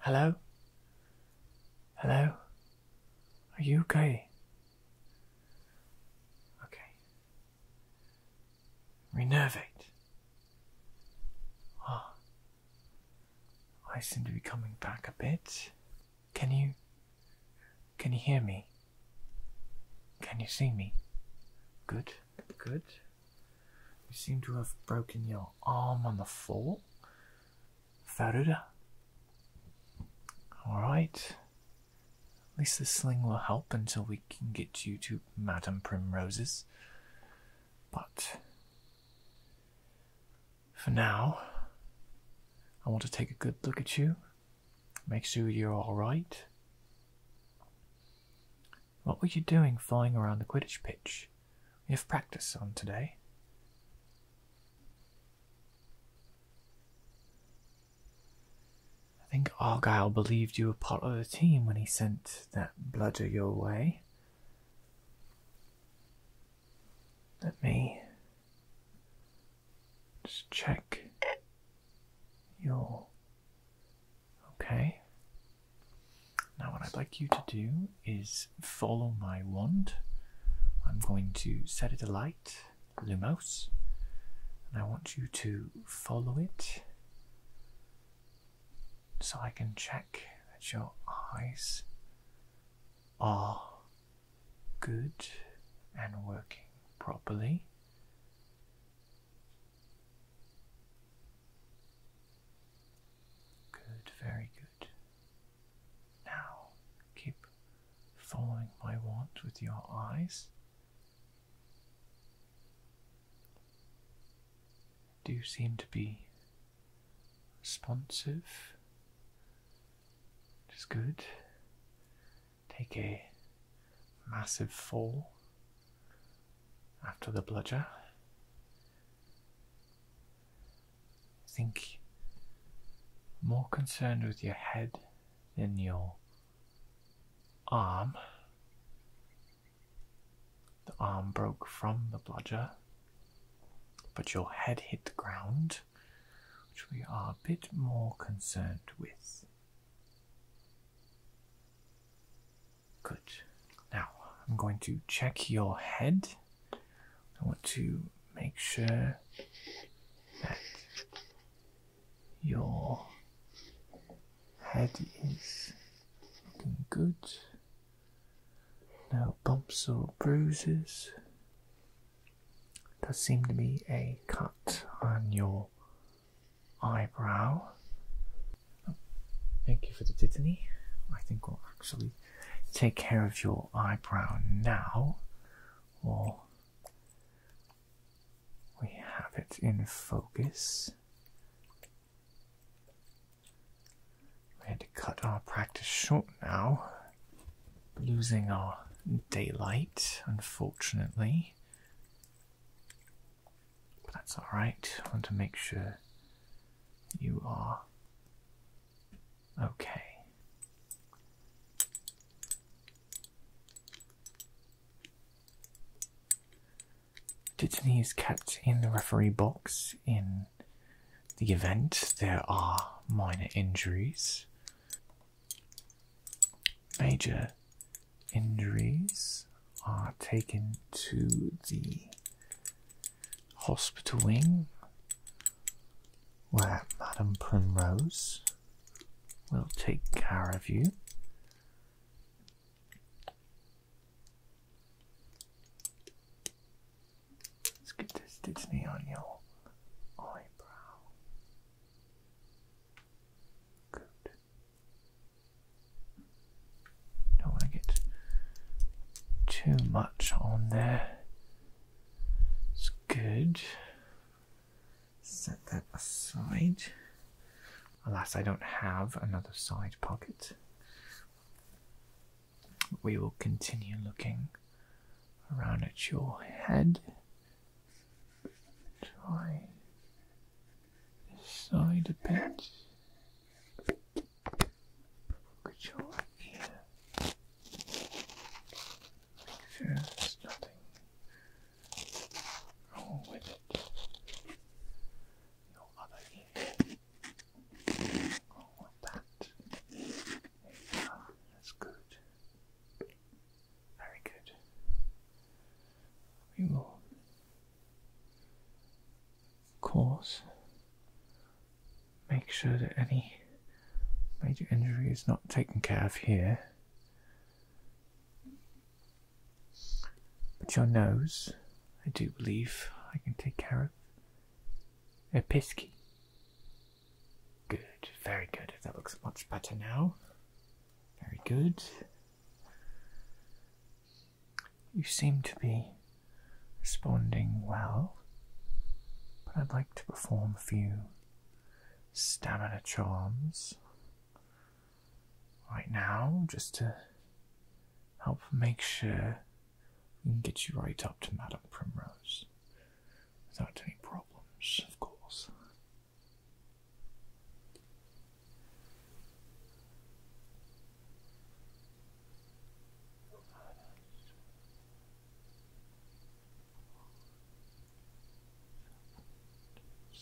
Hello? Hello? Are you okay? Okay. Renervate. Ah. I seem to be coming back a bit. Can you? Can you hear me? Can you see me? Good, good. You seem to have broken your arm on the fall, Faruda. Alright. At least the sling will help until we can get you to Madame Primrose's. But for now, I want to take a good look at you, make sure you're alright. What were you doing flying around the Quidditch pitch? We have practice on today. I think Argyle believed you were part of the team when he sent that bludger your way. Let me just check your. Okay. Now, what I'd like you to do is follow my wand. I'm going to set it alight, Lumos, and I want you to follow it so I can check that your eyes are good and working properly. Good, very good. Now keep following my wand with your eyes. Do you seem to be responsive, which good. Take a massive fall after the bludger. think more concerned with your head than your arm. The arm broke from the bludger, but your head hit the ground, which we are a bit more concerned with. Good. Now, I'm going to check your head. I want to make sure that your head is looking good. No bumps or bruises. Does seem to be a cut on your eyebrow. thank you for the titany. I think we'll actually take care of your eyebrow now, or we have it in focus. We had to cut our practice short now, losing our daylight, unfortunately. But that's alright. I want to make sure you are okay. Dutany is kept in the referee box in the event there are minor injuries. Major injuries are taken to the hospital wing where Madame Primrose will take care of you. Let's get this Disney on your eyebrow. Good. Don't get too much on there. It's good. Set that aside. Alas, I don't have another side pocket, we will continue looking around at your head. Try this side a bit. Look at your ear. Make sure there's nothing wrong with it your other ear. Along oh, that. That's uh, good. Very good. We will of course make sure that any major injury is not taken care of here. But your nose, I do believe I can take care of. Episki. Good, very good. That looks much better now. Very good. You seem to be responding well, but I'd like to perform a few stamina charms right now just to help make sure we can get you right up to Madam Primrose without any problems, of course.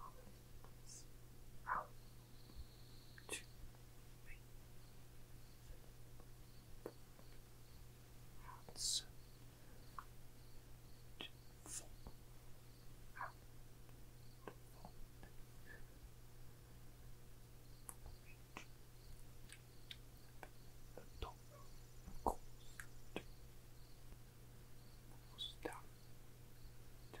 all of it comes out to me. Hands to fall out to fall reach the top of course to down to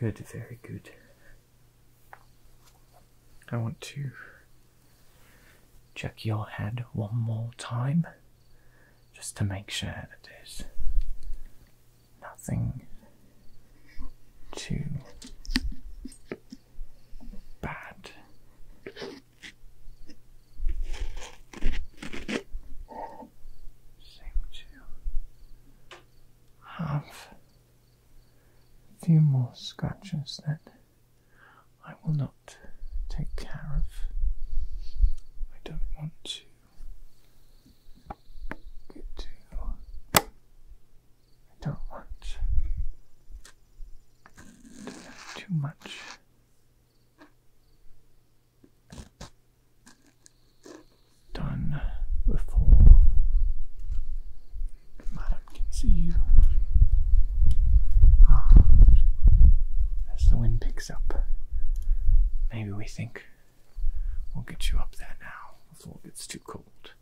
Good, very good. I want to Check your head one more time just to make sure that there's nothing too bad. Seem to have a few more scratches then. I will not take care of. I don't want to get to. I don't want to know too much. Done before Madam can see you. Ah, as the wind picks up, maybe we think we'll get you up there now before it gets too cold.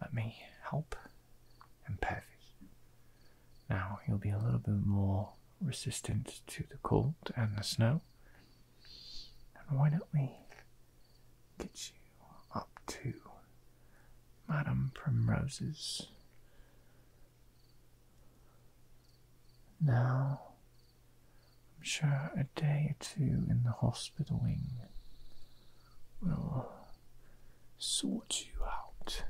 Let me help and Now you'll be a little bit more resistant to the cold and the snow and why don't we get you up to Madame Primrose's? Now, I'm sure a day or two in the hospital wing will sort you out.